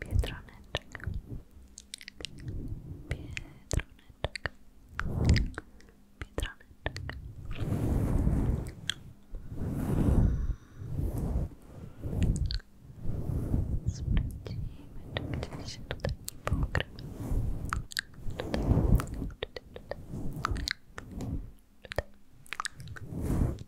Biedroneczek. Biedroneczek. Biedroneczek. Sprawdzimy, czy gdzieś się tutaj nie pokrywa. Tutaj, tutaj, tutaj. tutaj.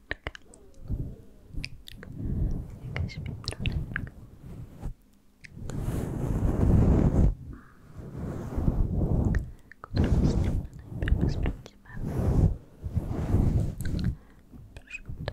pietroneczka jakaś pietroneczka którą stronę najpierw sprawdzimy przód Tył.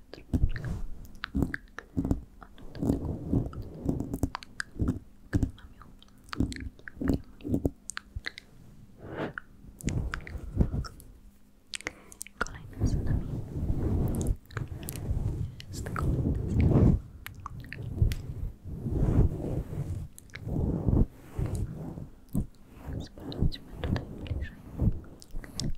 troszeczkę o tutaj Kolejne za nami jest komentarz. Sprawdźmy tutaj bliżej.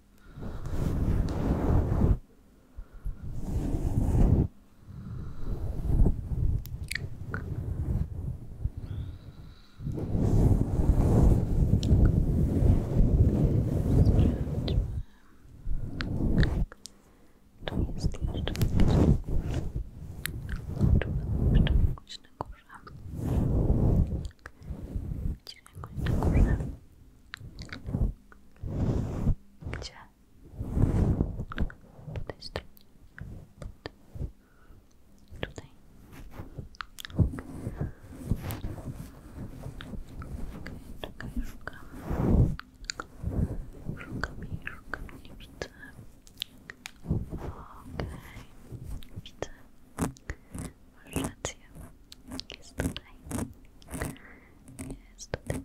Tu jest jeszcze coś. Tu jeszcze jakoś na górze. Gdzie jakoś na górze. Gdzie? Po tej stronie. Tutaj. Okej, okay, czekaj, szukam. mi, jej, mi jej, widzę. Okej, okay. widzę. Masz rację. Jest tutaj. Jest tutaj.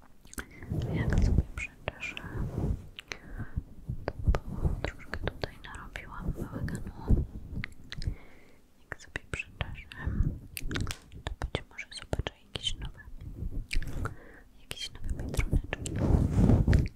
Jak sobie przeczyszę, to troszkę tutaj narobiłam bałaganu. Jak sobie przeczyszę, to być może zobaczę jakieś nowe, jakieś nowe pietroneczki. Nowe pietroneczki.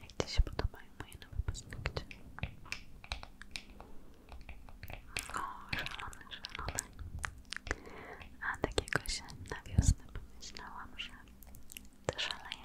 Jak Ci się podobają moje nowe paznokcie? O, szalone, szalone. A takiego się na wiosnę pomyślałam, że to szaleje.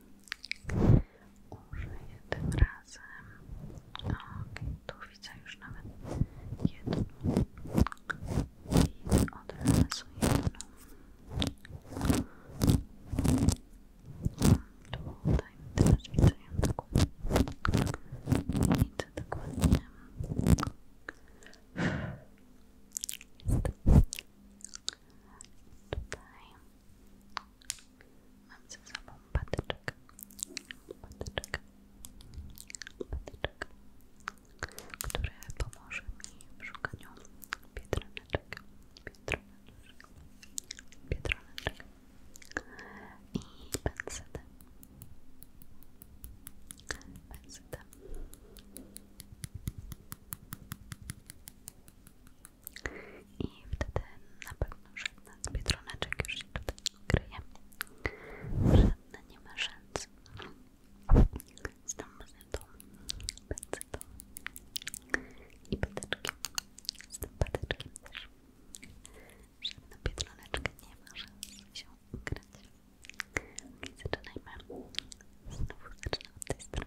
użyję razem. Ok, widzę już nawet jedną i od razu jedną. Tutaj też widzę ją taką nic dokładnie. Jest. Tutaj mam ze sobą patyczek. Patyczek. Patyczek, który pomoże mi w szukaniu biedroneczek. Biedroneczek. Biedroneczek. I pensetem. Pensetem. I wtedy na pewno żadna z biedroneczek już się tutaj ukryje. Żadna nie ma szans. Z tą mazetą, pędzetą i patyczkiem. Z tym patyczkiem też. Żadna biedroneczka nie ma szans się ukryć. Zaczynajmy. Znowu zaczynamy od tej strony.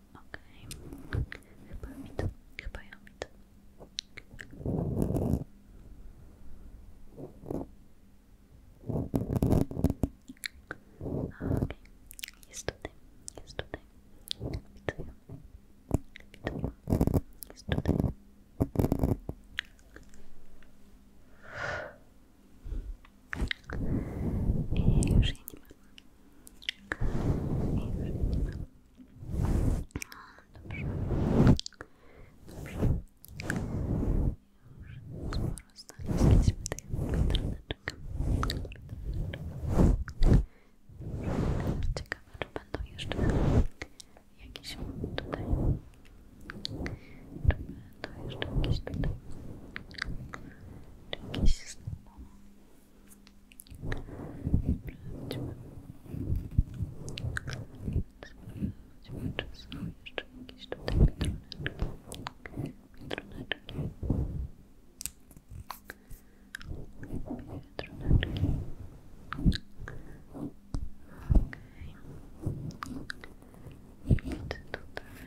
Okej, okay. chyba mi to, chyba ja mi to. Okej, jest tutaj, jest tutaj. Widzę ją, jest tutaj. I już jej I już jej Dobrze. Dobrze. Już sporo znaleźliśmy tych pietroneczek. Ciekawe, czy będą jeszcze jakieś tutaj. Czy będą jeszcze jakieś tutaj. Czy jakieś znowu. Sprawdźmy. Sprawdźmy, czy są jeszcze jakieś tutaj mitroneczki. Mitroneczki. Mitroneczki. Okej. Okay. Widzę tutaj.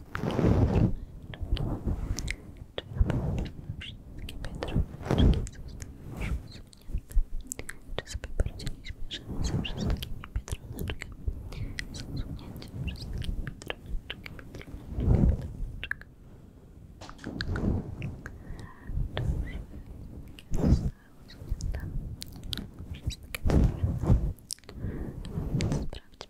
Czy wszystkie biedroneczki zostały już usunięte? Czy sobie poradziliśmy, że ze wszystkimi biedroneczkami z usunięciem wszystkich biedroneczek, biedroneczek, biedroneczek? Czy już wszystkie zostały usunięte? Wszystkie biedroneczki? Sprawdźmy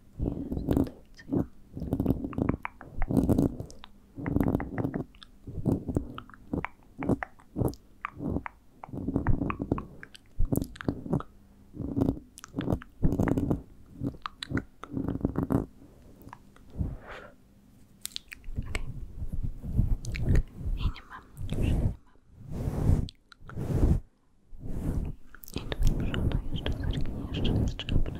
Jest, tutaj widzę ją. Okay. I nie mam, już nie mam. I tu z przodu jeszcze jeszcze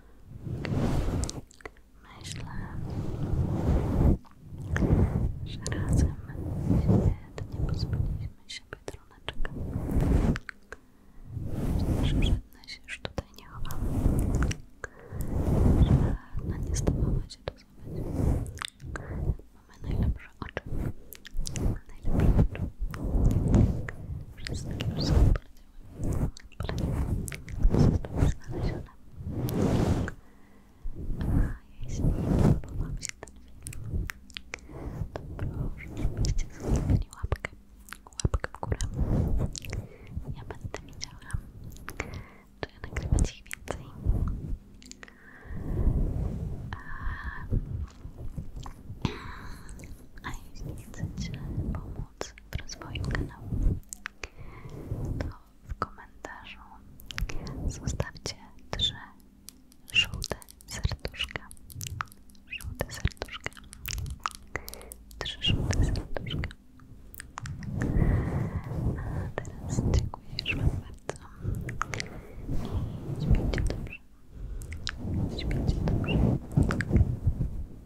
Myślę, że razem nie pozbyliśmy się biedroneczek. Myślę, że żadna się już tutaj nie chowała. Żadna nie stawała się to zabrać. Mamy najlepsze oczy. Najlepsze oczy. Wszystkie już są Zostały znalezione. A jeśli podobał się ten film, to proszę, żebyście zostawili łapkę, łapkę w górę. Ja będę widziała, czy nagrywać ich więcej. A, a jeśli chcecie pomóc, w rozwoju kanału, to w komentarzu zostawcie trzy żółte serduszka. Żółte serduszka. Trzy żółte serduszka. A teraz dziękuję już Wam bardzo. I śpijcie dobrze. Śpijcie dobrze.